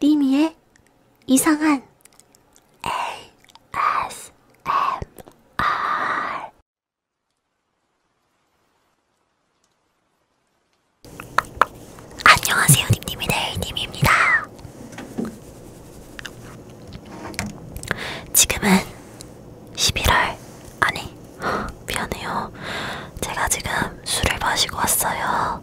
리미의 이상한 ASMR 안녕하세요 님님이 네이님입니다. 지금은 11월 아니 미안해요. 제가 지금 술을 마시고 왔어요.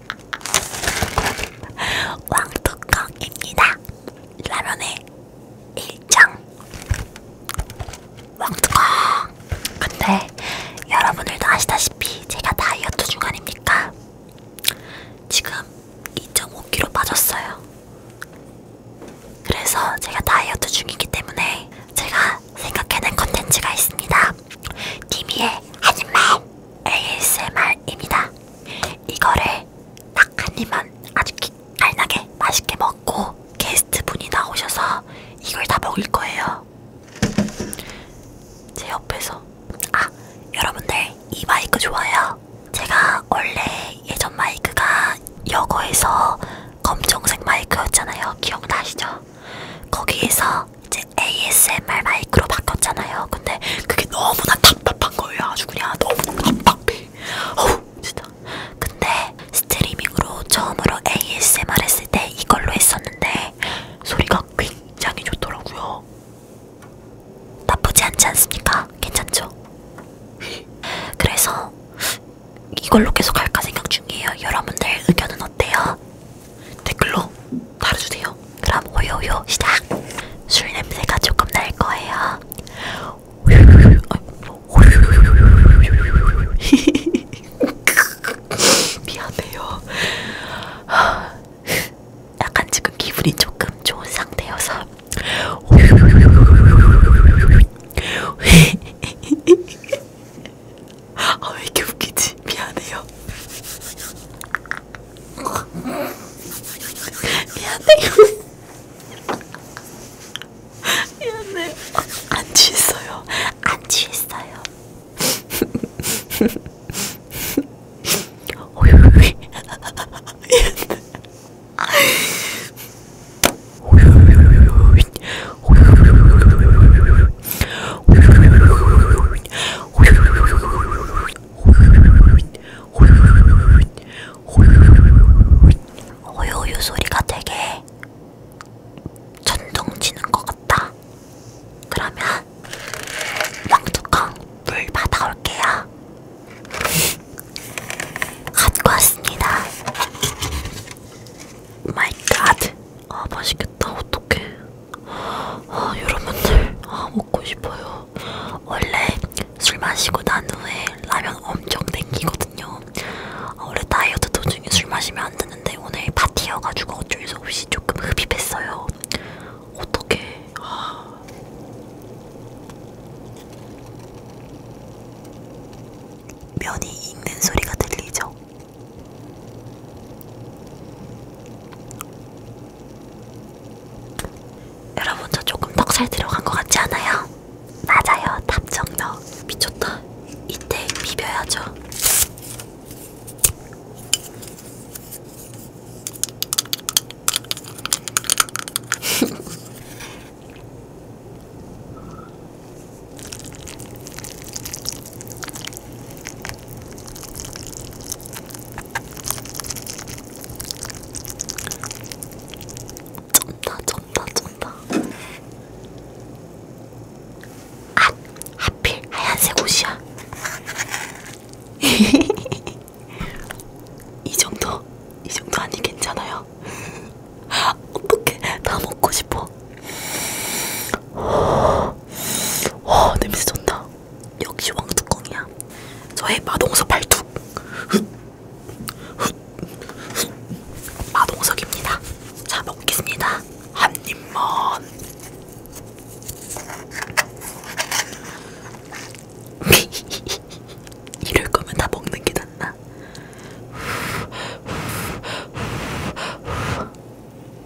왕뚜껑입니다. 라면의 일정. 왕뚜껑. 근데 여러분들도 아시다시피 제가 다이어트 중간입니까? 지금 2.5kg 빠졌어요. 그래서 제가 다이어트 중이기 때문에 제가 제가 생각해낸 컨텐츠가 있습니다. 디미의 한입만 ASMR입니다. 이거를 딱한 입만 아주 깔나게 맛있게 먹고 게스트 분이 나오셔서 이걸 다 먹을 거예요. 제 옆에서 아 여러분들 이 마이크 좋아요. 제가 원래 예전 마이크가 여거에서 검정색 마이크였잖아요. 기억나시죠? 거기에서 제 ASMR 마이크로 바꿨잖아요. 근데 그게 너무나 답답한 거예요. 아주 그냥 너무 답답해. 어우, 진짜. 근데 스트리밍으로 처음으로 ASMR 했을 때 이걸로 했었는데 소리가 굉장히 좋더라고요. 나쁘지 않지 않습니까? 괜찮죠? 그래서 이걸로 계속 할까 생각 중이에요. 여러분들 의견은 어때요? 댓글로 달아주세요. 그럼 오요요 시작! 술 냄새가 조금 날 거예요. 미안해요. 약간 지금 기분이 조금 좋은 상태여서 아왜 이렇게 웃기지? 미안해요. 미안해요. 미안해. 어, 안 취했어요. 안 취했어요. 오유유이. 오유유유이. 오유유유이. 호요요 소리가 되게 전동치는 것 같다. 그러면 왕뚜껑 물 받아올게요. 갖고 왔습니다. 마이 갓. 아 맛있겠다 어떡해 아 여러분들 아 먹고 싶어요 원래 술 마시고 난 후에 라면 엄청 땡기거든요 아, 원래 다이어트 도중에 술 마시면 안 되는데 오늘 파티여가지고 어쩔 수 없이 조금 흡입했어요 어떡해 아. 면이 익는 소리가 들리죠? 여러분 저 조금 턱살 들어간 것 같지 않아요? 맞아요 답정너 미쳤다 이때 비벼야죠 쩐다 쩐다 쩐다 아! 하필 하얀색 옷이야 이 정도? 이 정도 아니 괜찮아요? 어떡해 다 먹고 싶어 와 냄새 좋다. 역시 왕뚜껑이야. 저의 마동석 발톱. 마동석입니다. 자 먹겠습니다. 한 입만. 이럴 거면 다 먹는 게 낫나?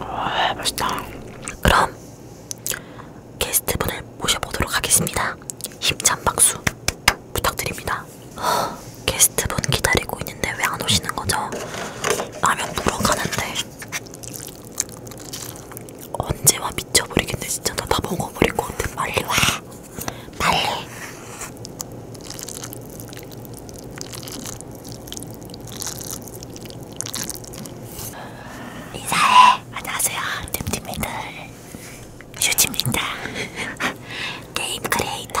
와, 맛있다. 그럼 게스트분을 모셔보도록 하겠습니다. 힘찬 박수 부탁드립니다. 어, 게스트 게스트분 기다리고 있는데 왜 안 오시는 거죠? 라면 물어가는데 언제 와 미쳐버리겠네 진짜 나 다 먹어버릴 것 같아 빨리 와 빨리 인사해 안녕하세요 템팀이들 슈즈입니다 게임 크리에이터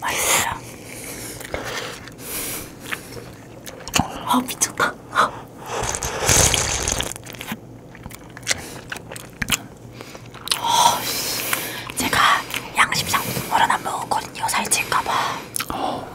맛있어요. 아 미쳤다. 어, 제가 양심상 국물은 안 먹었거든요. 살찔까봐. 어.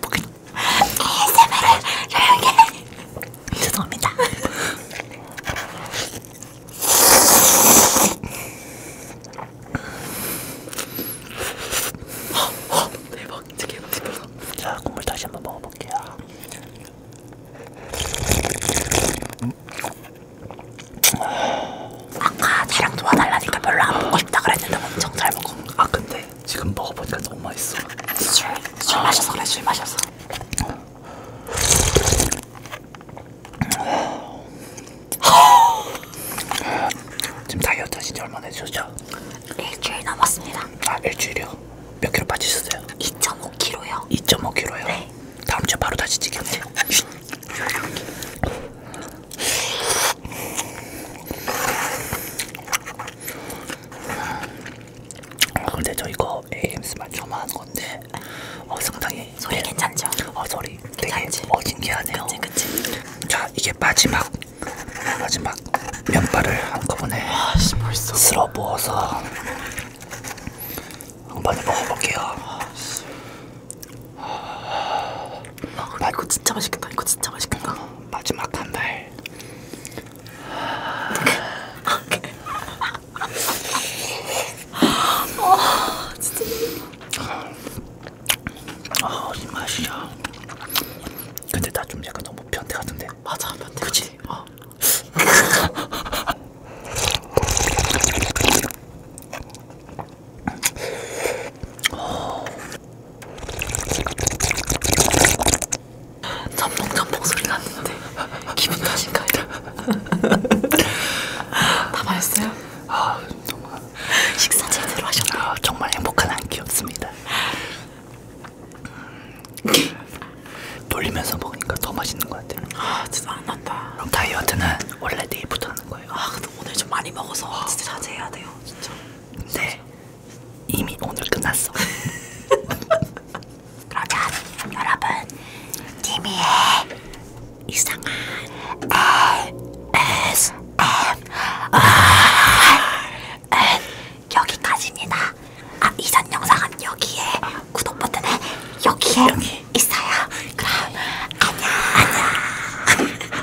보기 ASMR을 조용히 죄송합니다 대박 진짜 개맛 싶어서 자 국물 다시 한번 먹어볼게요 음. 아까 촬영 도와달라니까 별로 안 먹고 싶다 그랬는데 엄청 잘 먹어. 아 근데 지금 먹어보니까 너무 맛있어. 술, 술 아. 마셔서 그래 술 마셔서. 지금 다이어트 하신 지 얼마나 되셨죠? 일주일 남았습니다. 아 일주일이요? 몇 킬로 빠지셨어요? 2.5킬로요. 2.5킬로요? 네. 다음 주에 바로 다시 찍겠네요. 어, 근데 저 이거 AMS만 저만 한 건데 어, 상당히 소리 네. 괜찮죠? 어 소리 괜찮지? 되게 어, 어진기하네요. 그치 그치. 자 이게 마지막 마지막 면발을 한꺼번에 아씨 벌써 쓸어 부어서 한번에 먹어볼게요. 아, 나 아, 이거 진짜 맛있겠다. 이거 진짜 맛있겠다. 어, 마지막 한 달. 아, 진짜. 아, 이 맛이야. 근데 나 좀 약간 너무 변태 같은데. 맞아, 변태. 그치? 어. 전봉전봉 소리 났는데 기분 탓인가요? 다 맛있어요? 아 정말 식사 제대로 하셨나요? 아, 정말 행복한 한 끼였습니다. 돌리면서 먹으니까 더 맛있는 것 같아요. 아 진짜 안 난다. 그럼 다이어트는 원래 내일부터 하는 거예요? 아 근데 오늘 좀 많이 먹어서 진짜 자제해야 돼요 진짜. 네. 이미 오늘 끝났어. 그러자 여러분 티미의 이상한 ASMR 여기까지입니다. 아 이전 영상은 여기에 구독 버튼에 여기에 여기. 있어요. 그럼 안녕 안녕